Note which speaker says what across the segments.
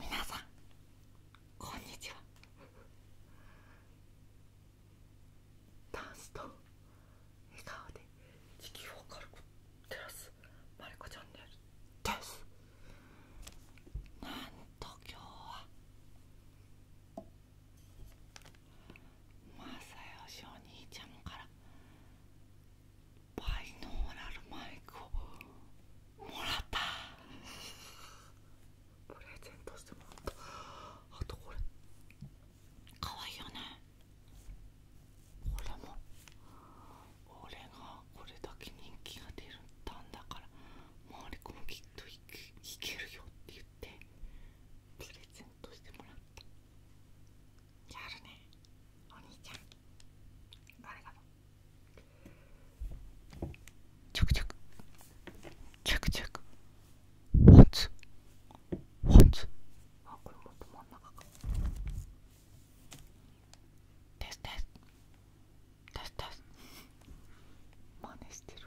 Speaker 1: 皆さんこんにちはダンスと笑顔で地球を軽く照らすマリコチャンネルですなんと今日は正義お兄ちゃんからバイノーラルマイクをもらったプレゼントしてもらったあとこれかわいいよねこれも俺がこれだけ人気が出るんだから周り子もきっといけいけるよって言ってプレゼントしてもらったやるねお兄ちゃんありがとちょくちょくちょくちょくポンツポンツあこれもですですですです真似してる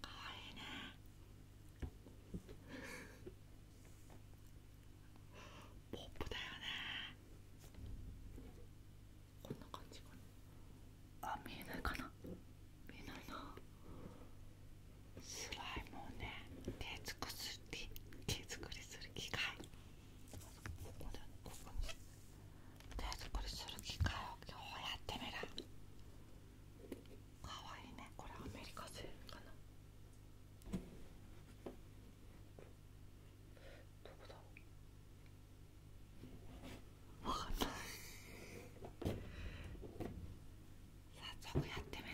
Speaker 1: かわいいねポップだよねこんな感じかなあ見えないかなみえないなスライムをね手作り手作りする機械ここでここに手作りする機械を今日やってみるかわいいねこれアメリカ製かなどこだわかんない早速やってみる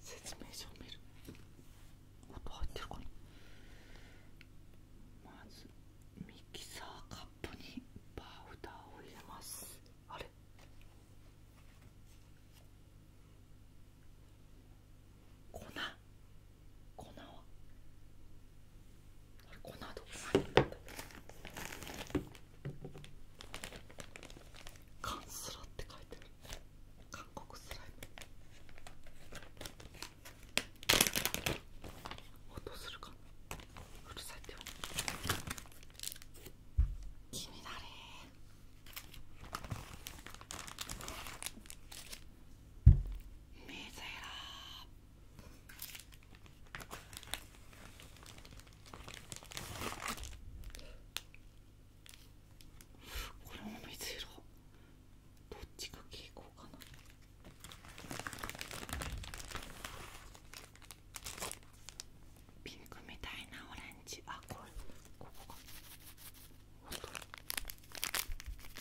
Speaker 1: 説明書を見る音入ってるかなまずミキサーカップにバウフターを入れますあれ粉粉はあれ粉どこにるんだカンスラって書いてる韓国スライム音するかうるさいってよ気になれメゼラこれも水色どっちが傾向かなピンみたいなオレンジあこれここか音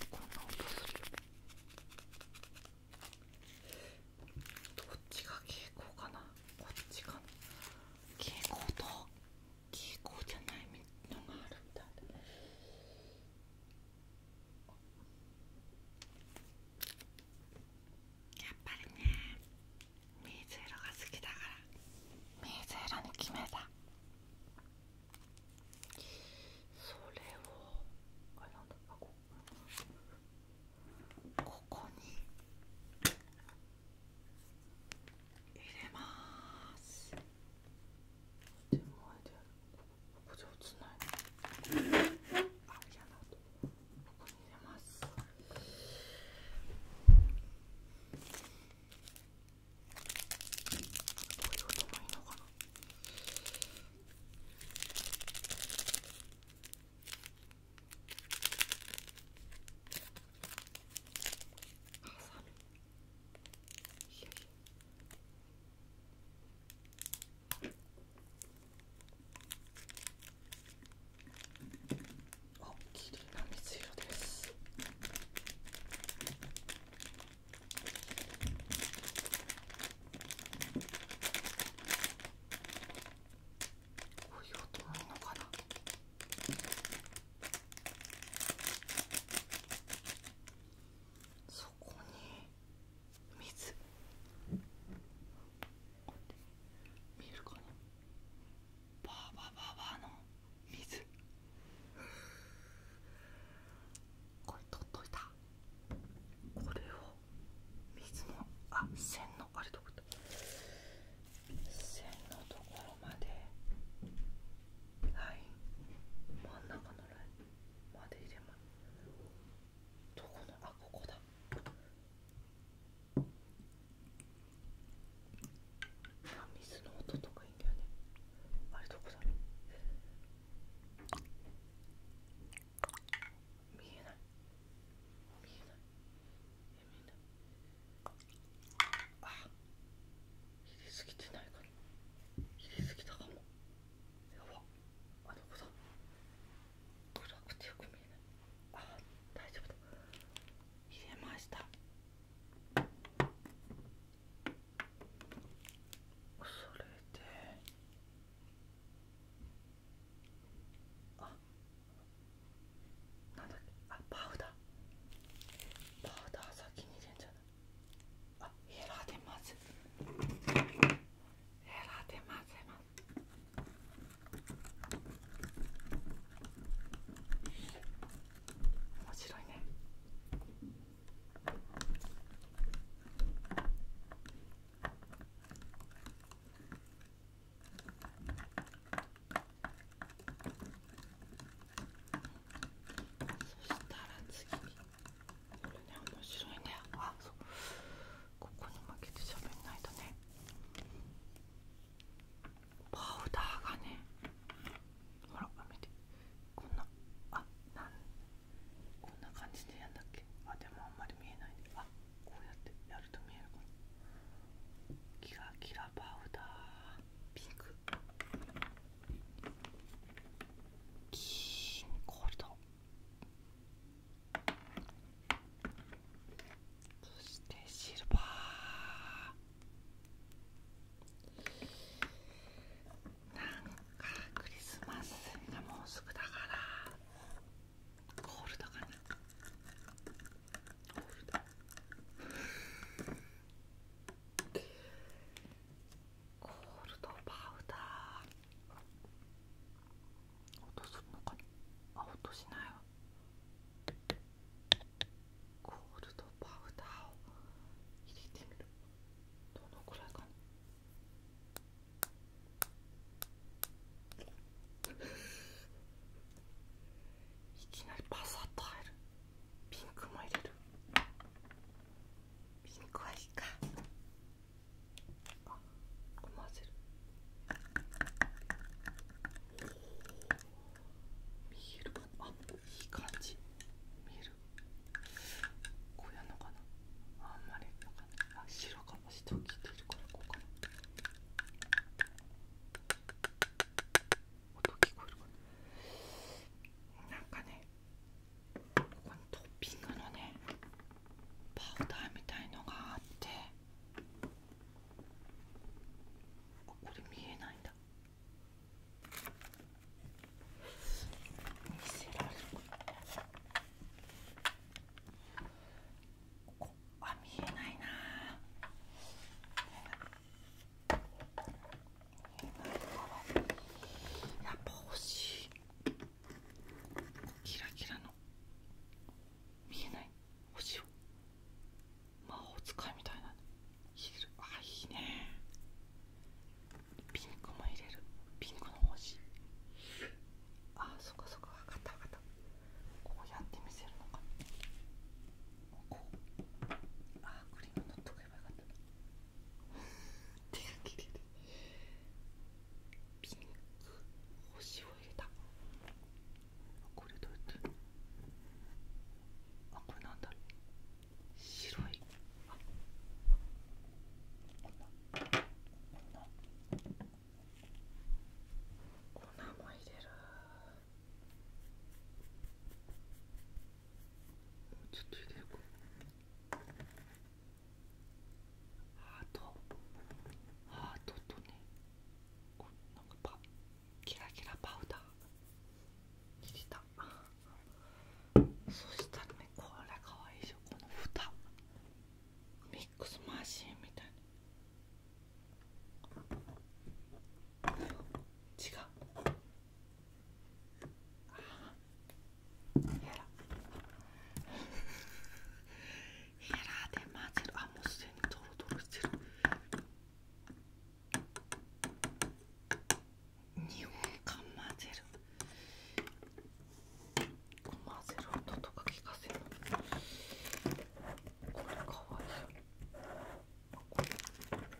Speaker 1: こんな音するどっちが傾向かなこっちかな傾向ときいじゃないみんながあるみたいだやっぱりね水色が好きだから水色に決めたそれをあなんだあこここに入れます。手前でここ上手ないありがとうここに入れますこういう音もいいのかなハサミあ綺麗な水色ですこういう音なのかなそこに水見えるかなバーバーバーバーの水これ取っといたこれを水のあっ線のあれどこだ線のところまではい真ん中のラインまで入れますどこのあここだあ水の音とかいいんだよねあれどこだろう見えない見えないえ見えないあ入れすぎてないかに入れすぎたかもやばあど子だ暗くてよく見えないあ大丈夫だ入れましたそれであなんだっけあパウダーパウダー先に入れんじゃないあヘラでまずヘラで混ぜます面白いねそしたら次これね面白いねあそうここに負けてしゃべんないとねパウダーがねほら見てこんなあなんこんな感じでやんだっけあでもあんまり見えないねあこうやってやると見えるかなキラキラパウダーピンク金ールド。そしてシルバーなんかクリスマスがもうすぐだからゴールドかなゴールドコールドパウダー音するのかなあ音しないわコールドパウダーを入れてみるどのくらいかないきなりパサッと入るピンクも入れるピンクはいいかあ思わせる見えるあいい感じ見えるこうやんのかなあんまりなんかあ白かもしを切っているからこうかな音聞こえるかななんかねここにトッピングのねパウダーみたいのがあってこれ見えないんだ見せられるここあ見えないなやっぱ欲しいキラキラの見えない星を魔法使いみたいなヒールあいいねピンクも入れるピンクの星あそっかそっか分かった分かったこうやって見せるのかこうあクリーム塗っとけばよかった手が切れるピンク星を入れたこれどうやってあこれなんだ白いあこんなも入れるもうちょっと入れるかハートハートとねこうなんかパキラキラパウダー切れたそしたらねこれかわいいでしょこの蓋ミックスマシンみたいな。違うヘラヘラで混ぜるあもうすでにドロドロしてる2本間混ぜる混ぜる音とか聞かせるこれかわいいこれ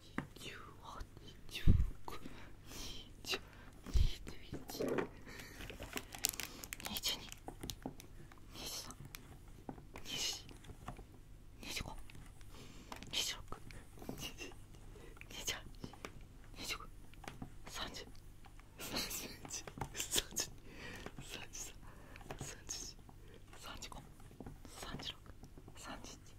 Speaker 1: 三十五三十六三十七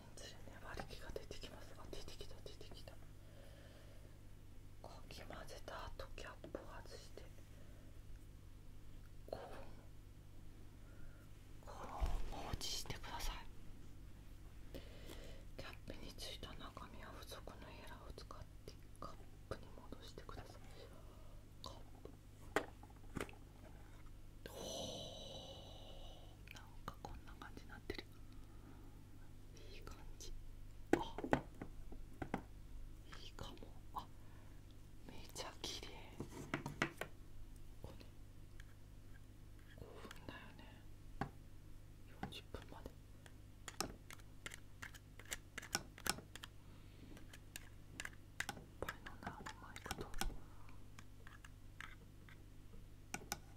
Speaker 1: 全り気が出てきますあ出てきた出てきたこき混ぜた後キャップを外してこう放置してくださいキャップについた中身は付属のエラーを使ってカップに戻してくださいカップおおなんかこんな感じになってるいい感じあいいかもあめちゃ綺麗こ5分だよね40分までいっぱいのなまいこと。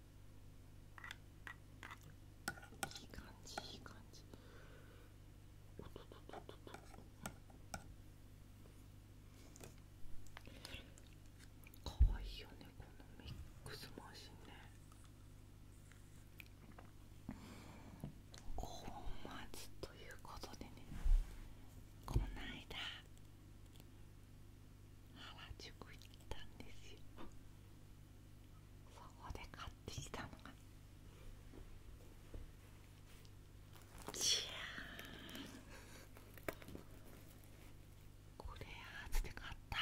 Speaker 1: いい感じいい感じおとととととかわいいよねこのミックスマシンね本末ということでねこないだ原宿行ったんですよそこで買ってきたのがじゃーんこれ初で買った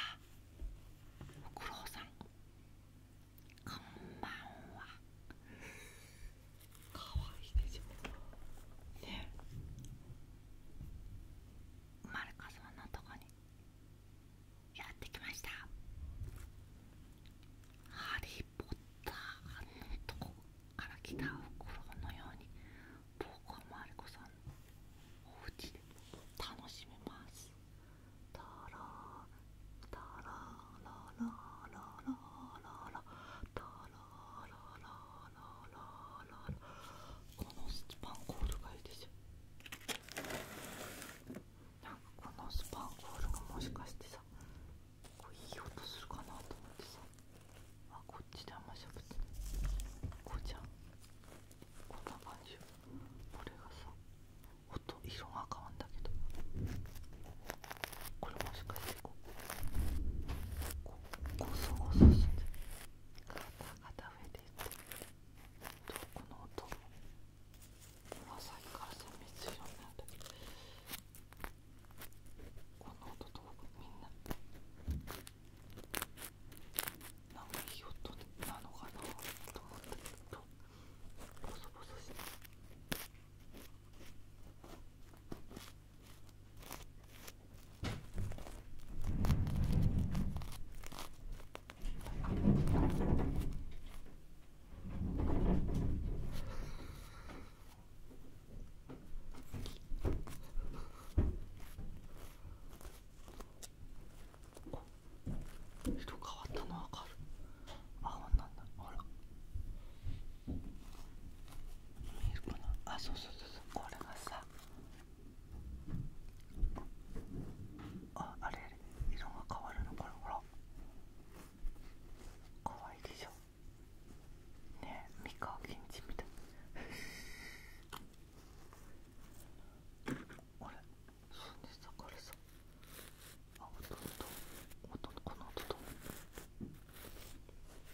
Speaker 1: ご苦労さんこんばんはかわいいでしょねマルカさんのとこにやってきましたハリー・ポッターのとこから来た袋のように僕はマルコさんのお家で楽しめますタラタラララララララタララこのスパンコールがいいですよこのスパンコールがもしかしてさこういい音するかなと思ってさあこっちであんましゃべってないこうじゃんこんな感じよこれがさ音色が変わんだけどこれもしかしてこうこうゴソゴソしてガタ肩上でいってこの音まさからさめつようなんだけどこの音とみんななんかいい音なのかなと思ったけどボソボソして。色変わったのわかる青なんだほら見えるかなあそうそうそうそこれがさああれ色が変わるのこれほらかわいいでしょねえ三河源氏みたい あれそうでしたこれさあ音とおと、この音と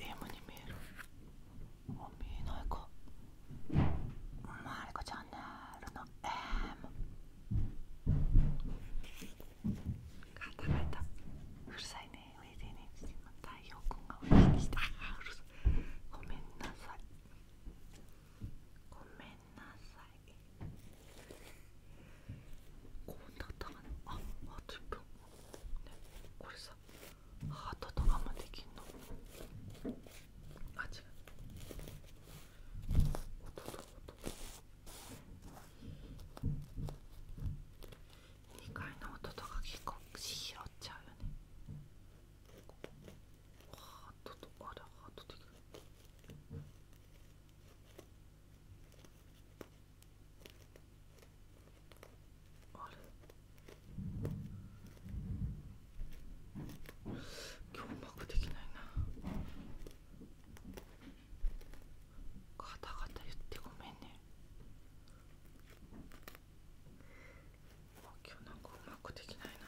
Speaker 1: M に見えるあ見えないかマリコチャンネルの M 固めたうるさいねねおいでねしてごめんなさいごめんなさいこうなたかなああと分、これさハートとかもできんのあ違う音と音2階の音とか結構拾っちゃうよねハートとあれハート的あれ今日うまくできないなガタガタ言ってごめんね今日なんかうまくできないな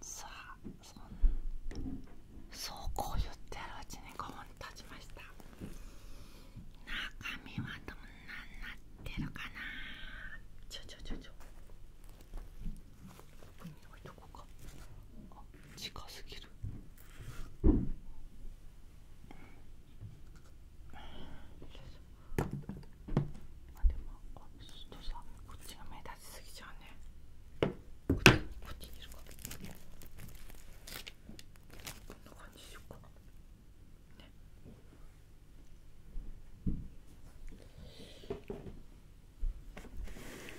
Speaker 1: さあそそうこう言ってるうちに5分経ちました中身はどんなになってるかなちょちょちょちょこに置いとこうかあ近すぎるまあでもあちょっとさこっちが目立ちすぎちゃね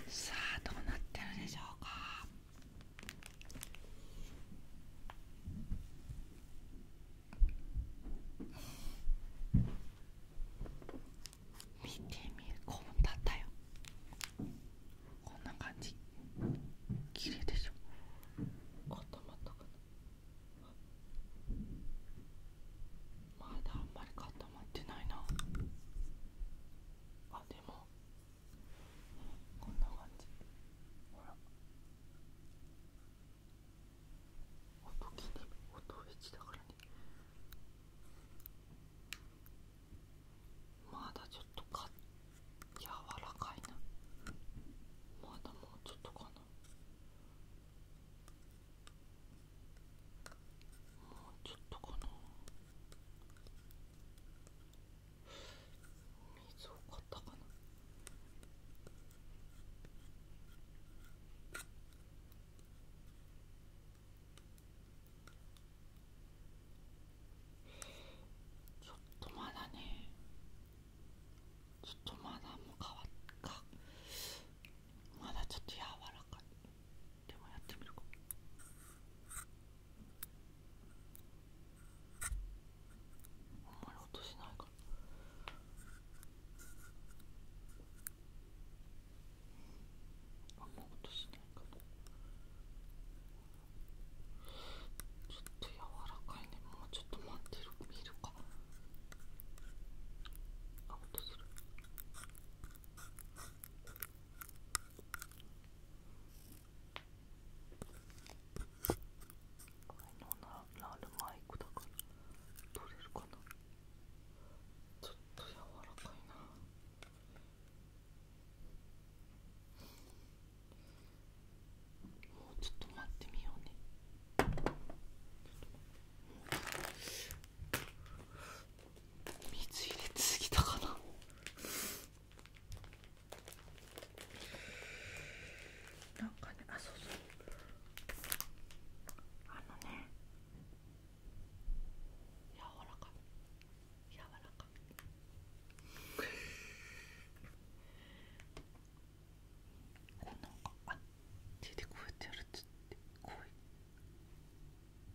Speaker 1: さあどうなってるでしょうか見てみるこうだったよこんな感じ綺麗でしょ固まったかなまだあんまり固まってないなあでもこんな感じほら音気に音フェチだからねまだちょっとか柔らかいなまだもうちょっとかなもうちょっとかな水を買ったかなちょっとまだねちょっとまだもう変わったまだちょっと柔らかいでもやってみるか。あんまり落としないからあんまとしないかもちょっと柔らかいねもうちょっと待ってる見るかあ落とせるあのなるマイクだから取れるかなちょっと柔らかいなもうちょっと待ってみようね水入れすぎたかななんかねあそうそうあのね柔らかい柔らかいこうなんかあ手でこうやってやるっつってこう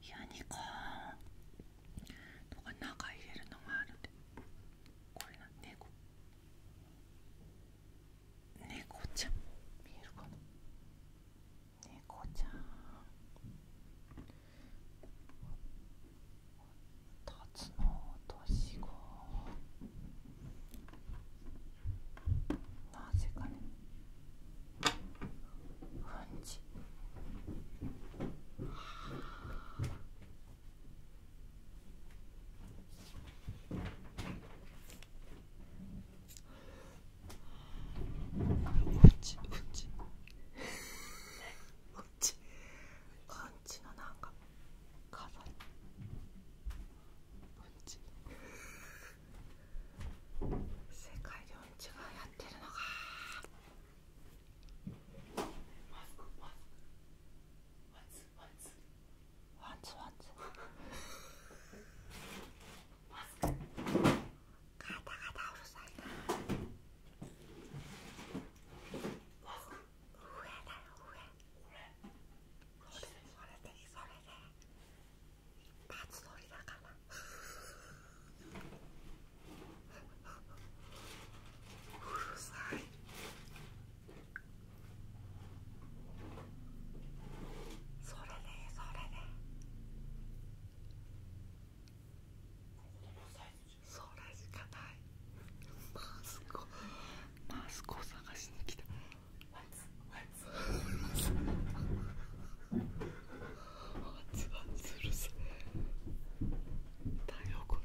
Speaker 1: いやにかーとか中入れるのがあるで。これが猫猫ちゃん見えるかな猫ちゃんたつの落とし子なぜかねうんちうちうちうちうんちのなんか飾りうんち世界でうんちがやってるのかマスクマスクワツワツワツワツマスクガタガタうるさいなマスク上だよ上これそれでそれで一発取りだからフーッうるさいそれねそれねそれしかないマスコマスコ探しに来たワンツワンツワンツワンツうるさい太陽光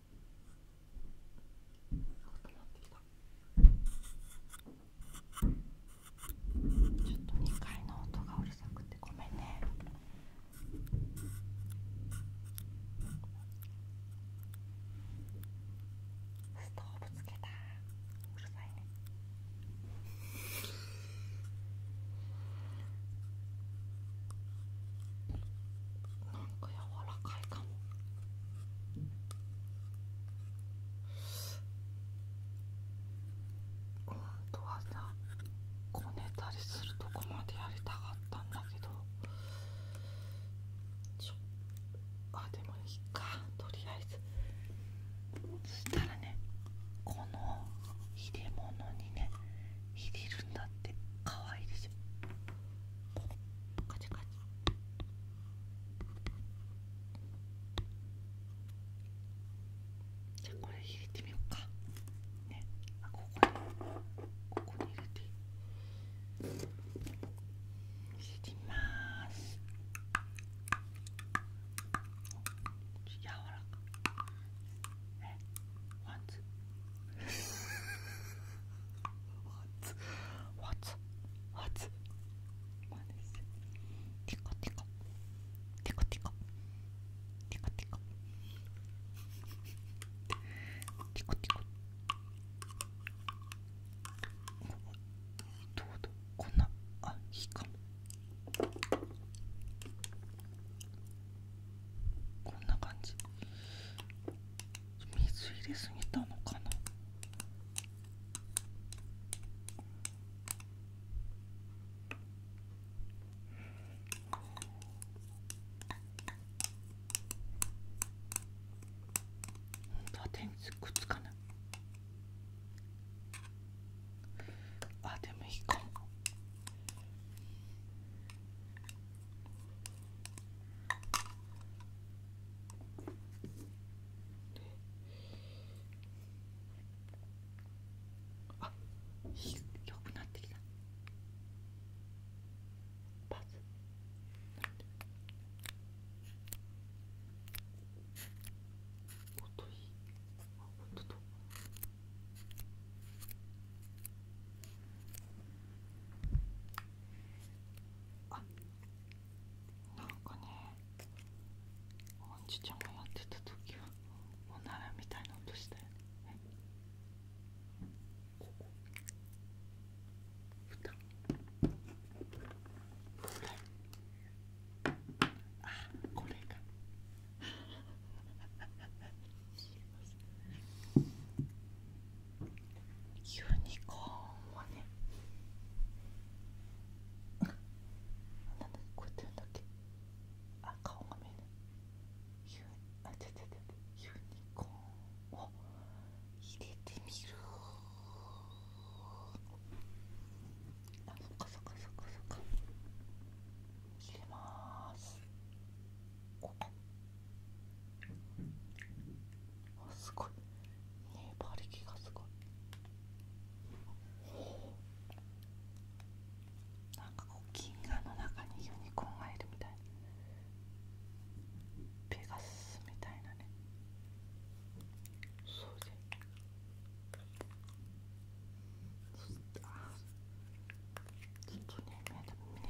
Speaker 1: ちょっと2階の音がうるさくてごめんねストーブつけたうるさいねなんか柔らかいかも。本とはさこねたりするとこまでやりたかったんだけどちょあでもいいかとりあえずそしたらねこの入れ物にね入れるんだってかわいいでしょカチャカチじゃあこれ入れてみようかねあここにここに入れて入れてみます柔らかねワンツー What's w h a ティ w ティ t ティ it? テコテコティテコティテコティテコどうだこんなあいいかもこんな感じ水入れすぎたのかなは電池くっつかないあでもいいかもあ良くなってきたパス音いあ音あなんかねおんちちゃんがやってた時はおならみたいな音したよねここ蓋これあこれがユニコーンはねなんだこうやって言んだっけあ顔が見えないユあちゃちゃちゃユニコーンを入れてみるあそっかそっかそっかそっか入れますここあすごいね、パリキがすごいなんかこう銀河の中にユニコーンがいるみたいなペガスみたいなねそうであちょっとね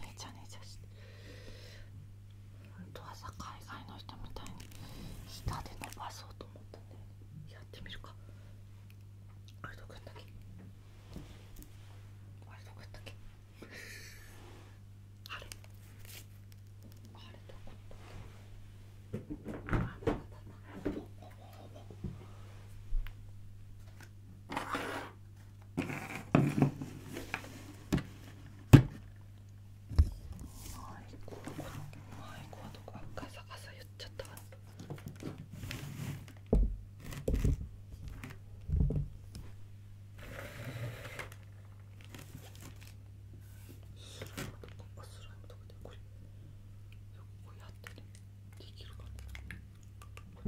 Speaker 1: めちゃめちゃして本当はさ海外の人みたいに下で伸ばそうと思ったんでやってみるかあれどこやったっけあれどこやったっけあれあれどこやったっけあれどこやったっけいここはいこはどこガサガサ言っちゃったスライムとかスライムとかでこれこうやってねできるかな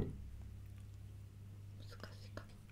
Speaker 1: 難しいかな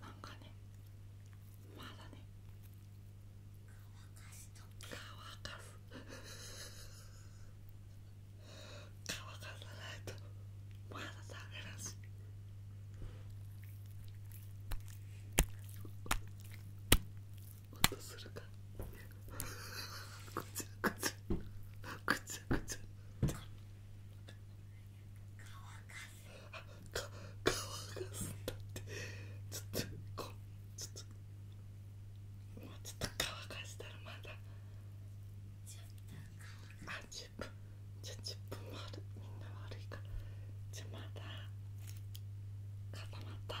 Speaker 1: なんかねまだね乾かす乾かさないとまだダメらしい音するかぐちゃぐちゃぐちゃぐちゃ乾か乾かすんだってちょっとこうちょもうちょっと乾かしたらまだあ10分じゃあ1もあるみんな悪いからじゃまだ固まったら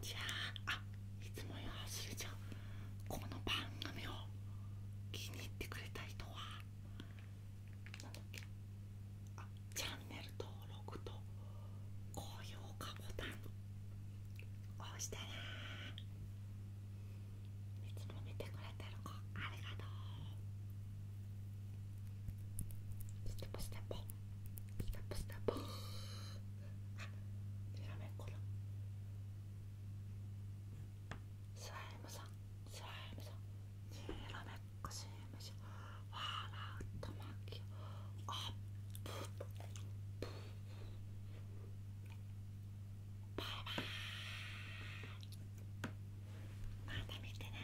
Speaker 1: じゃあいつもより忘れちゃん、この番組を気に入ってくれたい人はなんだっけあチャンネル登録と高評価ボタン押したら。いつも見てくれてる子ありがとうステップステップステップステップあフラメンコだスライムさんスライムさんフラメンコ CM じゃわらうとまきあっぷぷぷバイバイまた見てね